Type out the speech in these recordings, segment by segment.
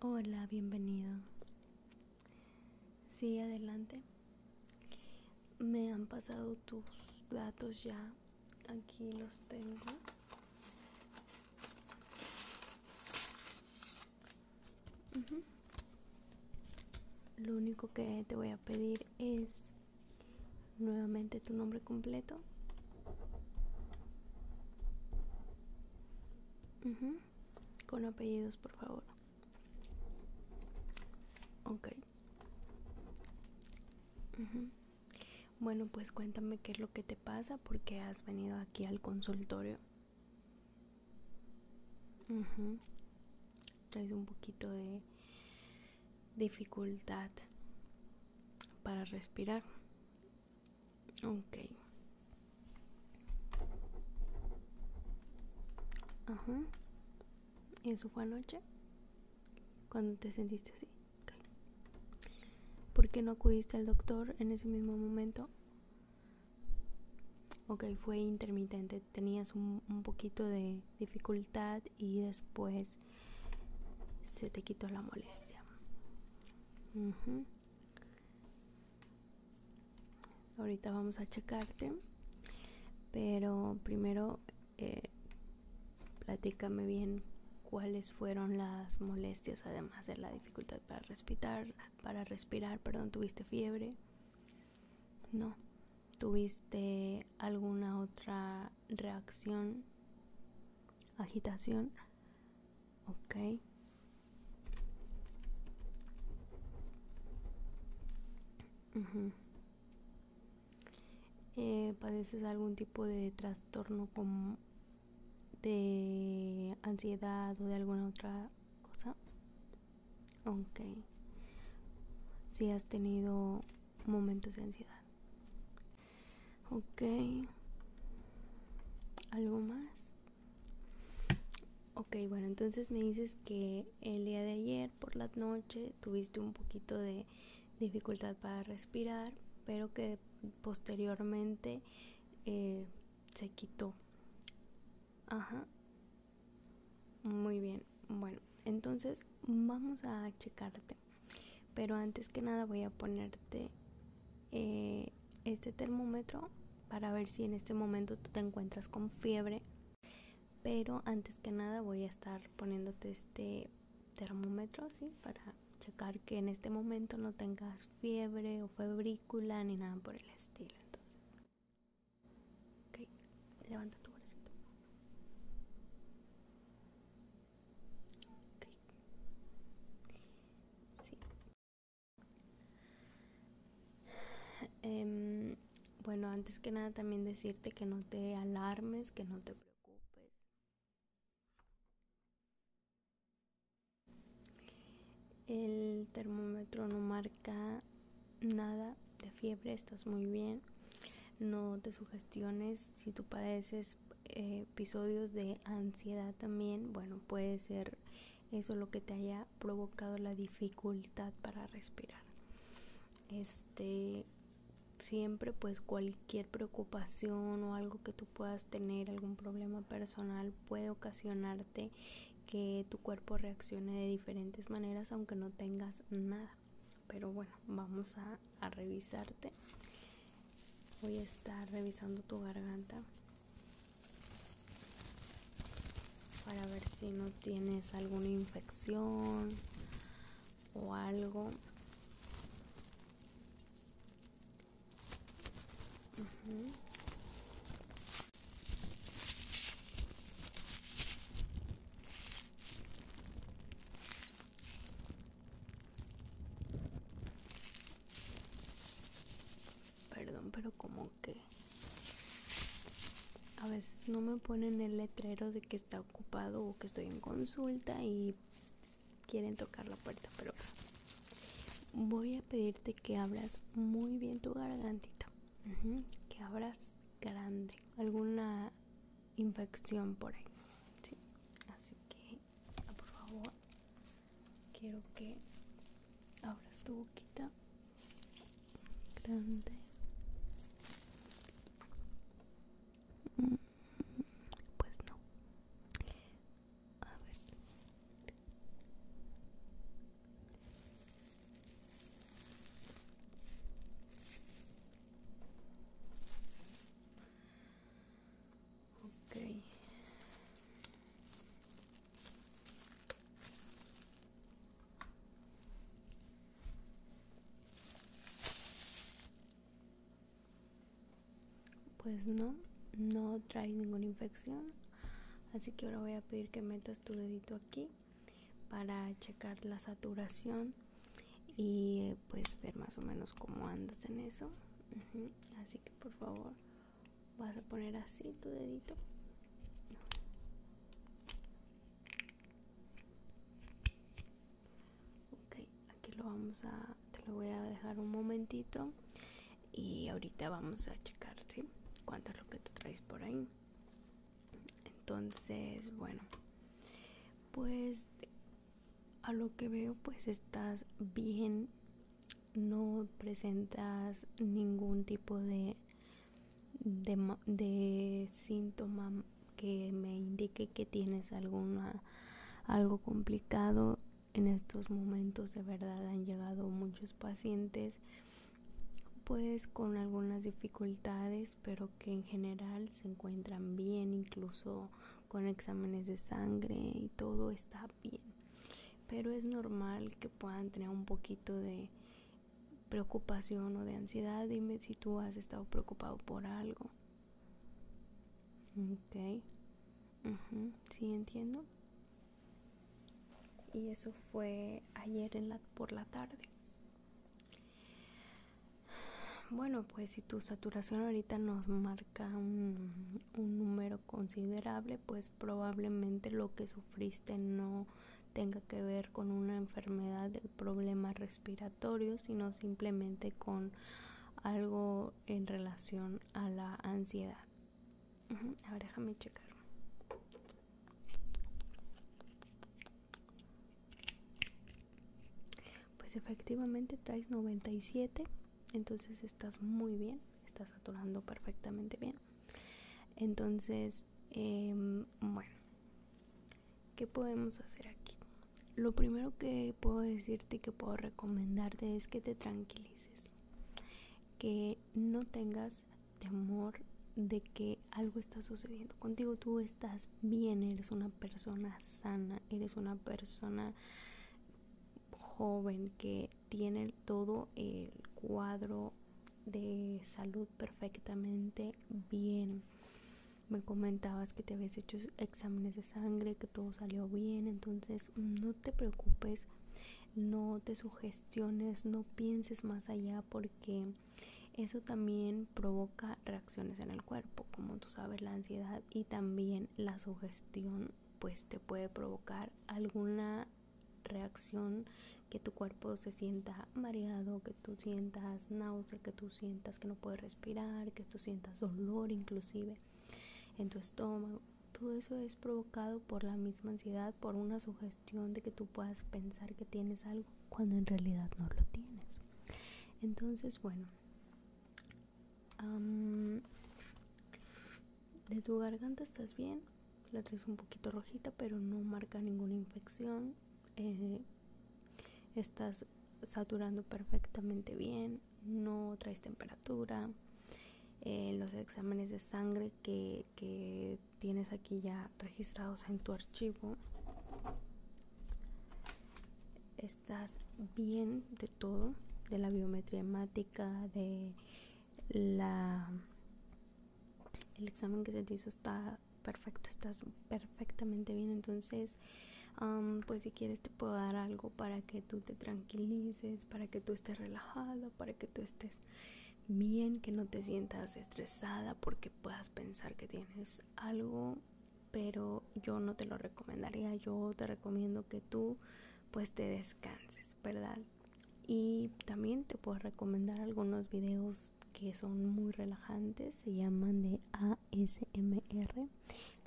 Hola, bienvenido. Sí, adelante. Me han pasado tus datos ya. Aquí los tengo. Lo único que te voy a pedir es nuevamente tu nombre completo. Con apellidos, por favor. Ok. Bueno, pues cuéntame qué es lo que te pasa, porque has venido aquí al consultorio. Traes un poquito de dificultad para respirar. Ok. Ajá. ¿Eso fue anoche? Cuando te sentiste así. ¿Por qué no acudiste al doctor en ese mismo momento? Ok, fue intermitente, tenías un, poquito de dificultad y después se te quitó la molestia. Ahorita vamos a checarte, pero primero eh, platícame bien cuáles fueron las molestias además de la dificultad para respirar, para respirar, perdón, tuviste fiebre. No. ¿Tuviste alguna otra reacción? Agitación. Ok. Eh, ¿Padeces algún tipo de trastorno como de ansiedad o de alguna otra cosa? Ok. Si has tenido momentos de ansiedad. Ok. ¿Algo más? Ok, bueno, entonces me dices que el día de ayer por la noche tuviste un poquito de dificultad para respirar, pero que posteriormente eh, se quitó. Ajá. Muy bien. Bueno, entonces vamos a checarte. Pero antes que nada voy a ponerte eh, este termómetro para ver si en este momento tú te encuentras con fiebre. Pero antes que nada voy a estar poniéndote este termómetro, ¿sí? Para checar que en este momento no tengas fiebre o febrícula ni nada por el estilo. Entonces, levanta tu em, bueno, antes que nada también decirte que no te alarmes, que no te preocupes, el termómetro no marca nada de fiebre, estás muy bien. No te sugestiones si tú padeces eh, episodios de ansiedad también. Bueno, puede ser eso lo que te haya provocado la dificultad para respirar. Este, siempre pues cualquier preocupación o algo que tú puedas tener, algún problema personal puede ocasionarte que tu cuerpo reaccione de diferentes maneras aunque no tengas nada. Pero bueno, vamos a, revisarte. Voy a estar revisando tu garganta para ver si no tienes alguna infección o algo. Perdón, pero como que a veces no me ponen el letrero de que está ocupado o que estoy en consulta y quieren tocar la puerta, pero voy a pedirte que abras muy bien tu gargantita, que abras grande, alguna infección por ahí, así que ah, por favor quiero que abras tu boquita grande mm, pues no a ver Okay. Pues no, no trae ninguna infección. Así que ahora voy a pedir que metas tu dedito aquí para checar la saturación y pues ver más o menos cómo andas en eso. Así que por favor vas a poner así tu dedito ok aquí lo vamos a te lo voy a dejar un momentito y ahorita vamos a checar ¿sí? cuánto es lo que tú traes por ahí entonces bueno pues a lo que veo pues estás bien no presentas ningún tipo de de, síntoma que me indique que tienes alguna algo complicado en estos momentos de verdad han llegado muchos pacientes pues con algunas dificultades pero que en general se encuentran bien incluso con exámenes de sangre y todo está bien pero es normal que puedan tener un poquito de preocupación o de ansiedad. Dime si tú has estado preocupado por algo. Ok. Sí, entiendo. Y eso fue ayer en la, por la tarde. Bueno, pues si tu saturación ahorita nos marca un número considerable, pues probablemente lo que sufriste no tenga que ver con una enfermedad de problema respiratorio sino simplemente con algo en relación a la ansiedad. Ahora déjame checar. Pues efectivamente traes 97 entonces estás muy bien, estás saturando perfectamente bien. Entonces, em, bueno, ¿qué podemos hacer aquí? Lo primero que puedo decirte que puedo recomendarte es que te tranquilices, que no tengas temor de que algo está sucediendo contigo, tú estás bien, eres una persona sana, eres una persona joven que tiene todo el cuadro de salud perfectamente bien. Me comentabas que te habías hecho exámenes de sangre, que todo salió bien, entonces no te preocupes, no te sugestiones, no pienses más allá porque eso también provoca reacciones en el cuerpo, como tú sabes, la ansiedad y también la sugestión pues te puede provocar alguna reacción que tu cuerpo se sienta mareado, que tú sientas náusea, que tú sientas que no puedes respirar, que tú sientas dolor inclusive en tu estómago. Todo eso es provocado por la misma ansiedad, por una sugestión de que tú puedas pensar que tienes algo cuando en realidad no lo tienes. Entonces, bueno, de tu garganta estás bien. La traes un poquito rojita, pero no marca ninguna infección. Eh, estás saturando perfectamente bien. No traes temperatura. Eh, los exámenes de sangre que, que tienes aquí ya registrados en tu archivo estás bien de todo, de la biometría de la el examen que se te hizo está perfecto, estás perfectamente bien. Entonces, pues si quieres te puedo dar algo para que tú te tranquilices, para que tú estés relajada, para que tú estés bien, que no te sientas estresada porque puedas pensar que tienes algo pero yo no te lo recomendaría, yo te recomiendo que tú pues te descanses, ¿verdad? Y también te puedo recomendar algunos videos que son muy relajantes, se llaman de ASMR,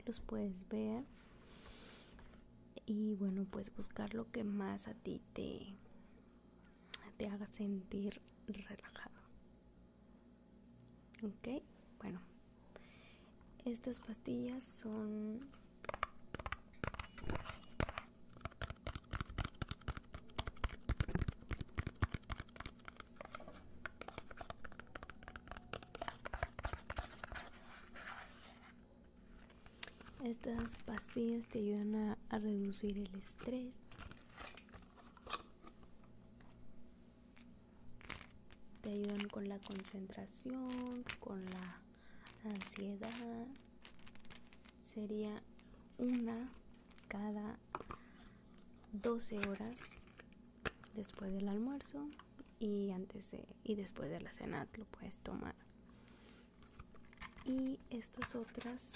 los puedes ver y bueno pues buscar lo que más a ti te, te haga sentir relajado. Okay, bueno estas pastillas son estas pastillas te ayudan a reducir el estrés te ayudan con la concentración, con la ansiedad. Sería una cada 12 horas después del almuerzo y antes y después de la cena lo puedes tomar. Y estas otras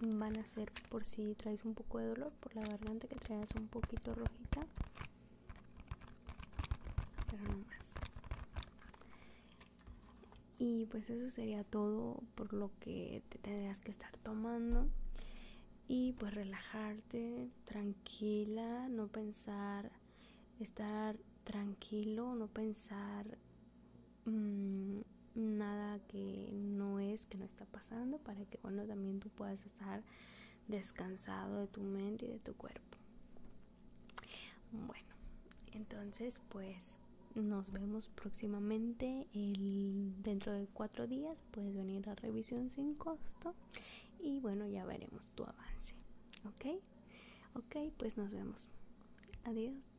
van a ser por si traes un poco de dolor por la garganta que traes un poquito rojita pero no más y pues eso sería todo por lo que te tendrías que estar tomando y pues relajarte tranquila no pensar estar tranquilo no pensar Mm, nada que no es, que no está pasando, para que bueno también tú puedas estar descansado de tu mente y de tu cuerpo. Bueno, entonces pues nos vemos próximamente el, dentro de cuatro días. Puedes venir a revisión sin costo y bueno, ya veremos tu avance. ¿Ok? Ok, pues nos vemos. Adiós.